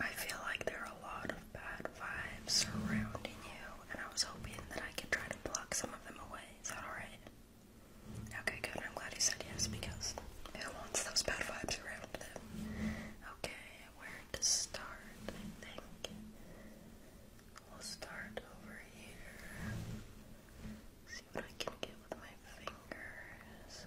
I feel like there are a lot of bad vibes surrounding you, and I was hoping that I could try to block some of them away. Is that alright? Okay, good. I'm glad you said yes because who wants those bad vibes around them? Okay, where to start, I think. We'll start over here. See what I can get with my fingers.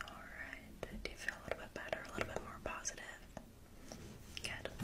All right. Do you feel a little bit better? A little bit more positive? Good.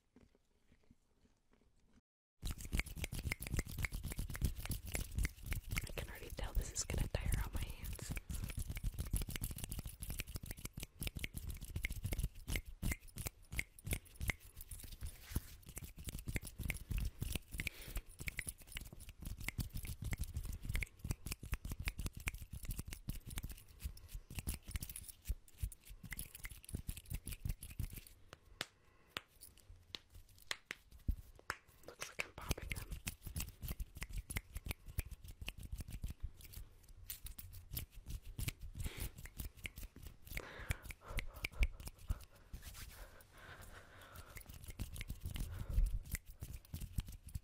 I can already tell this is gonna tire out my hands. Looks like I'm popping them.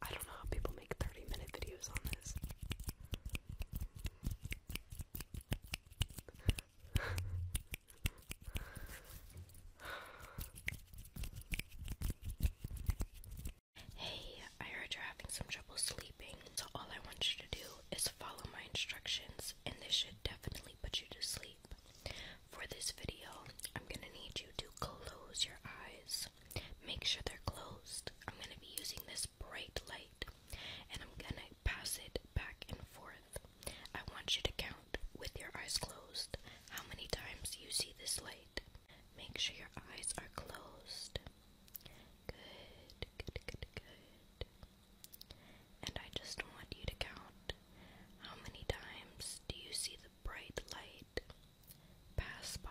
I don't know how people i hey, I heard you're having some trouble sleeping, so all I want you to do is follow my instructions, and this should definitely put you to sleep. For this video, I'm gonna need you to close your eyes. Make sure they're closed. I'm gonna be using this bright light, and I'm gonna pass it back and forth. I want you to count with your eyes closed how many times you see this light. Make sure your eyes are closed. Good, good, good, good. And I just want you to count how many times do you see the bright light pass by.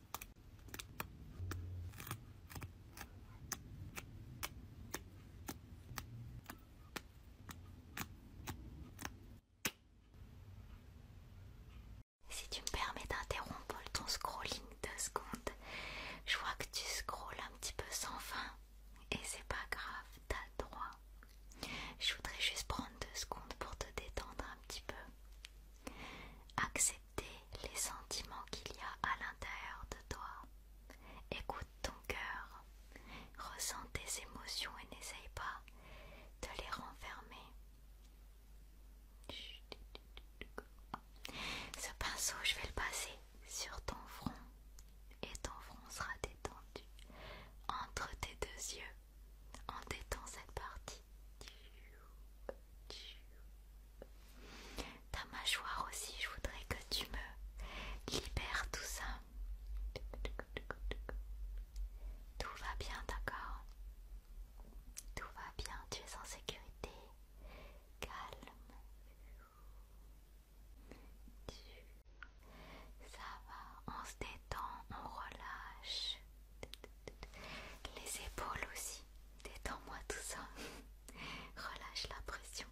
Si tu me permets d'interrompre ton scrolling deux secondes, je vois que tu scrolles un petit peu sans fin et c'est pas grave, t'as droit. Je voudrais juste prendre deux secondes pour te détendre un petit peu acceptez les sentiments qu'il y a à l'intérieur de toi. Écoute ton cœur. Ressens tes émotions et n'essaye pas de les renfermer. Ce pinceau, je vais le passer sur ton front et ton front sera détendu entre tes deux yeux en détend cette partie. Ta mâchoire aussi, je voudrais que tu me libères tout ça. Tout va bien, d'accord Tout va bien, tu es en sécurité. Calme. Ça va, on se détend, on relâche. Les épaules aussi. Détends-moi tout ça. Relâche la pression.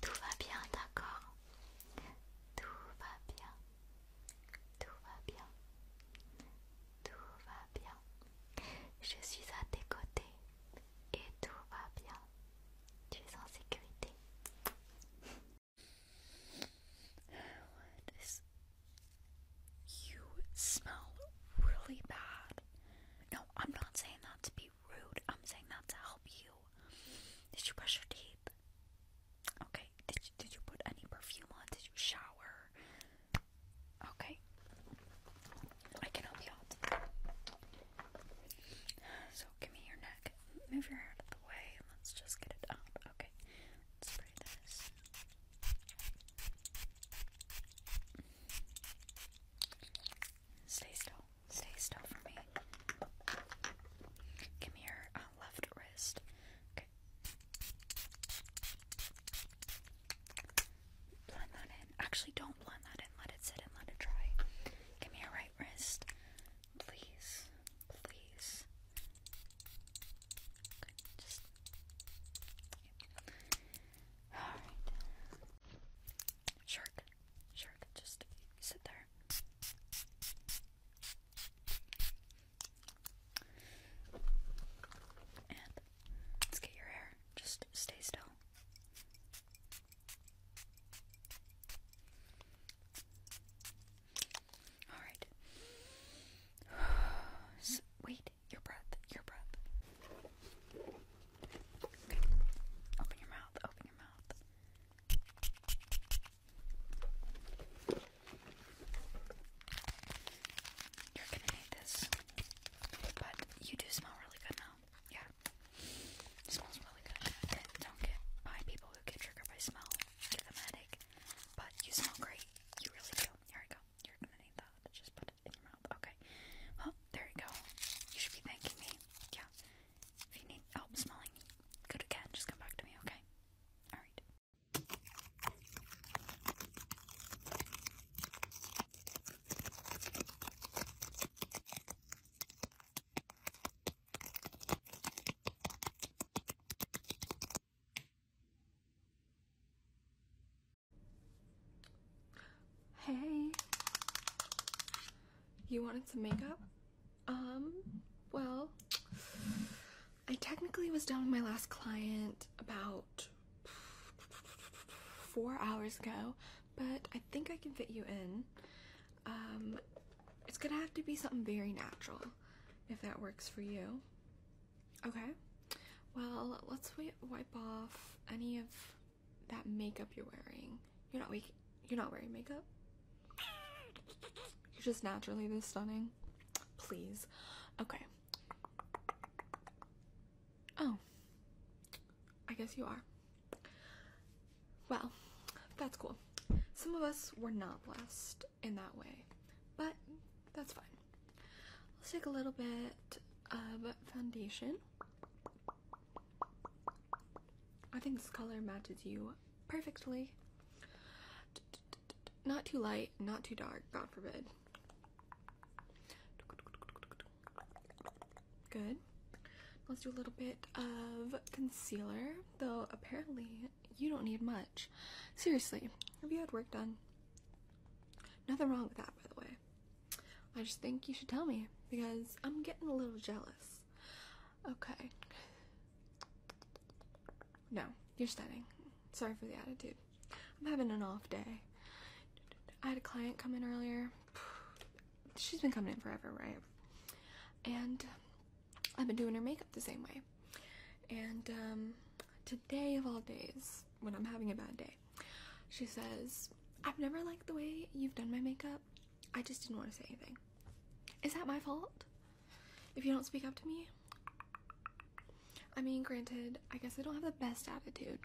Tout va bien, d'accord Tout va bien. Tout va bien. Tout va bien. Je suis à tes côtés et tout va bien. Tu es en sécurité. You smell really bad. No, I'm not saying that to be rude. I'm saying that to help you. Did you brush your teeth? Okay. Did you, put any perfume on? Did you shower? Okay. I can help you out. So give me your neck. Move your hair out of the way let's just get it out. Stay still. Stay still for me. Give me uh, left wrist. Okay. Blend that in. Actually, don't blend that in. Let it sit and let it dry. Give me right wrist. Please, please. Alright. Shark, shark, just sit there. And let's get your hair. Just stay still. All right. wait, your breath, your breath. Open your mouth, open your mouth. You're gonna hate this, but you do smell really good now. Yeah. It smells really good. And don't get my people who get triggered by smell. Give them a headache. But you smell great. You really do. Here we go. You're gonna need that. Just put it in your mouth. Okay. Well, there you go. You should be thanking me. Yeah. If you need help smelling, go to cat. Just come back to me, okay? Alright. Hey, you wanted some makeup? Um, well, I technically was done with my last client about four hours ago, but I think I can fit you in. Um, it's gonna have to be something very natural if that works for you. Okay, well, let's wipe off any of that makeup you're wearing. You're not waking, you're not wearing makeup. You're just naturally this stunning. Please. Okay. Oh. I guess you are. Well, that's cool. Some of us were not blessed in that way, but that's fine. Let's take a little bit of foundation. I think this color matches you perfectly. Not too light, not too dark, God forbid. Good. Let's do a little bit of concealer, though apparently you don't need much. Seriously, have you had work done? Nothing wrong with that, by the way. I just think you should tell me because I'm getting a little jealous. Okay. No, you're stunning. Sorry for the attitude. I'm having an off day. I had a client come in earlier she's been coming in forever, right? And um, I've been doing her makeup the same way. And um, today of all days, when I'm having a bad day, she says, I've never liked the way you've done my makeup. I just didn't want to say anything. Is that my fault? If you don't speak up to me? I mean, granted, I guess I don't have the best attitude.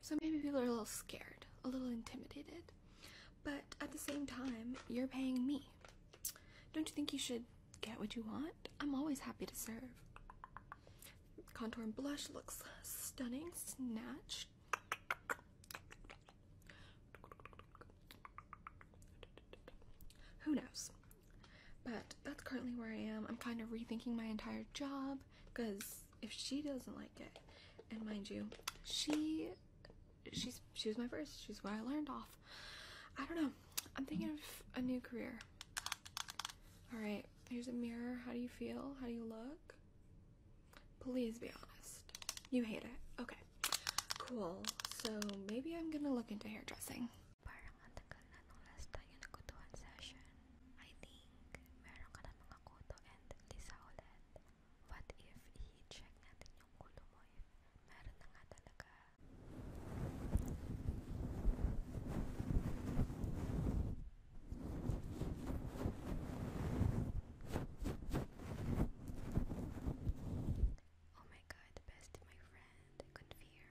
So maybe people are a little scared, a little intimidated. But at the same time, you're paying me. Don't you think you should get what you want? I'm always happy to serve. Contour and blush looks stunning. snatched. Who knows? But that's currently where I am. I'm kind of rethinking my entire job because if she doesn't like it, and mind you, she she's she was my first. She's what I learned off. I don't know. I'm thinking of a new career. All right, here's a mirror. How do you feel? How do you look? Please be honest. You hate it. Okay. Cool. So maybe I'm gonna look into hairdressing. meron ka na mga kuto and lisa ulit. What if i-check natin yung kulo mo if meron na nga talaga. Oh my god, bestie, my friend, I couldn't hear